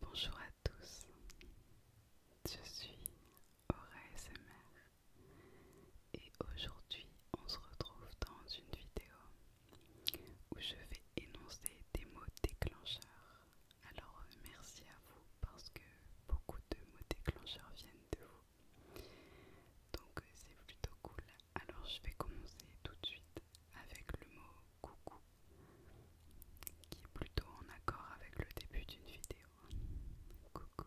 Bonjour à tous, je suis Aura SMR et aujourd'hui on se retrouve dans une vidéo où je vais énoncer des mots déclencheurs. Alors merci à vous parce que beaucoup de mots déclencheurs viennent de vous. Donc c'est plutôt cool. Alors je vais commencer tout de suite avec le mot coucou qui est plutôt en accord avec le début d'une vidéo. Coucou,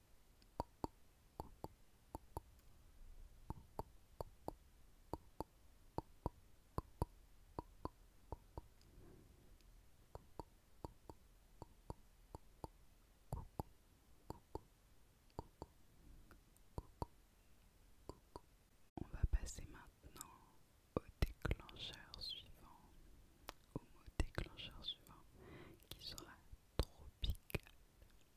On va passer maintenant au déclencheur suivant, au mot déclencheur suivant qui sera tropical.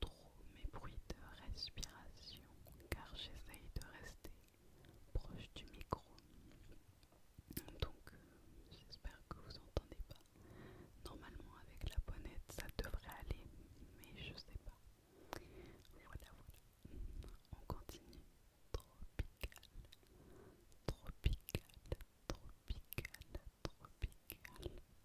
trop mes bruits de respiration car j'essaye de rester proche du micro. Donc euh, j'espère que vous entendez pas. Normalement avec la bonnette ça devrait aller, mais je sais pas. Voilà, voilà. On continue. Tropical, tropical, tropical, tropical,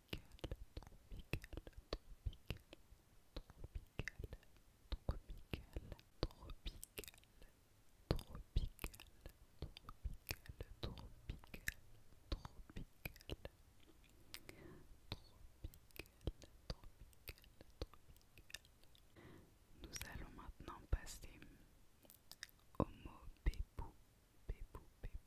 tropical, tropical, tropical, tropical, tropical, tropical, tropical, tropical, tropical, tropical, tropical, tropical, tropical. Nous allons maintenant passer au mot bébou, bébou, bébou.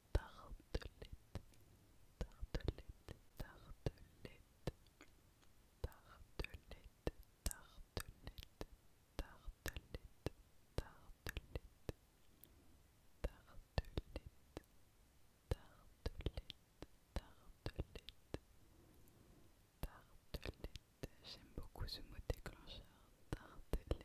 tartelette, tartelette, tartelette, tartelette, tartelette, tartelette, tartelette, tartelette, tartelette. Tartelette, tartelette, j'aime beaucoup ce mot déclencheur, tartelette,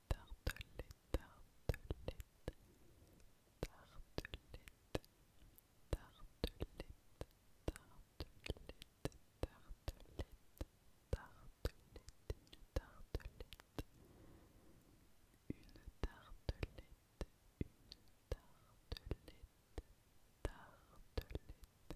tartelette, tartelette, tartelette, tartelette, tartelette, tartelette, tartelette, une tartelette, une tartelette, une tartelette, tartelette,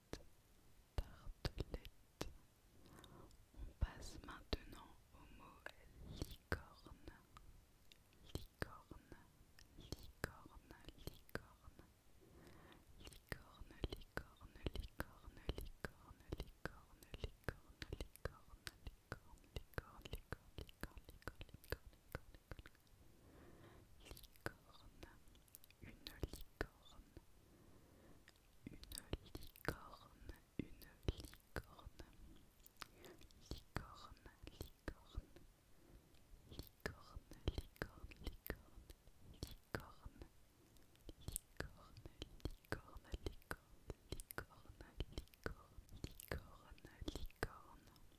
On passe maintenant au mot licorne. Licorne, licorne, licorne. Licorne, licorne, licorne, licorne, licorne, licorne, licorne, licorne, licorne, licorne, licorne, licorne, licorne, licorne, licorne. Licorne une licorne, une licorne, une licorne, licorne, licorne, licorne, licorne, licorne, licorne, licorne, licorne, licorne, licorne, licorne, licorne,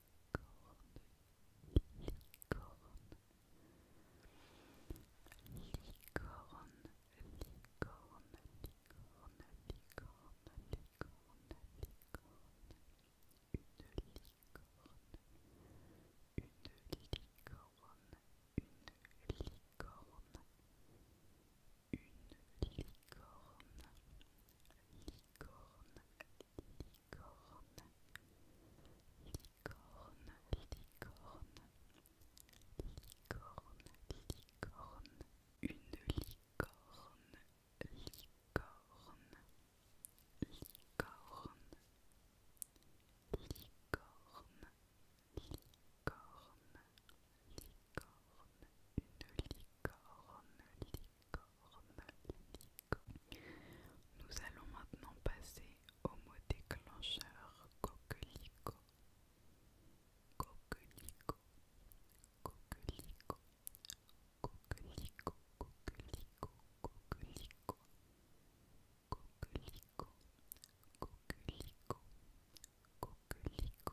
licorne licorne, licorne, licorne, licorne, licorne, licorne, une licorne, licorne, licorne, licorne, licorne, licorne, une licorne, licorne. Nous allons maintenant passer au mot déclencheur coquelico Coquelicot, Coquelico Coquelico coquelico coquelicot, Coquelico coquelico Coquelico.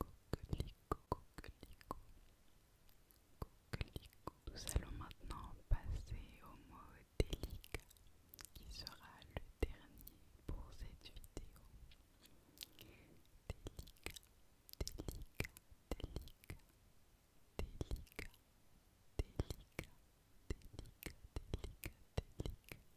Coquelicot, coquelicot, coquelicot. Nous allons maintenant passer au mot délicat qui sera le dernier pour cette vidéo. Délicat, délicat, délicat, délicat, délicat, délicat, délicat, délicat.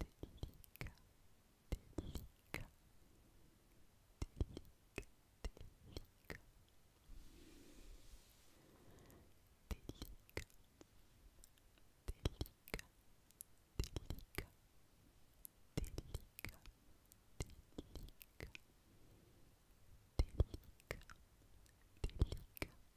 délicat, délicat, délicat, délicat, délicat, délicat, délicat, délicat, délicat, délicat, délicat,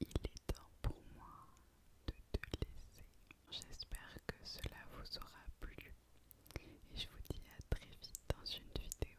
Il est temps pour moi de te laisser. J'espère que cela vous aura plu et je vous dis à très vite dans une vidéo.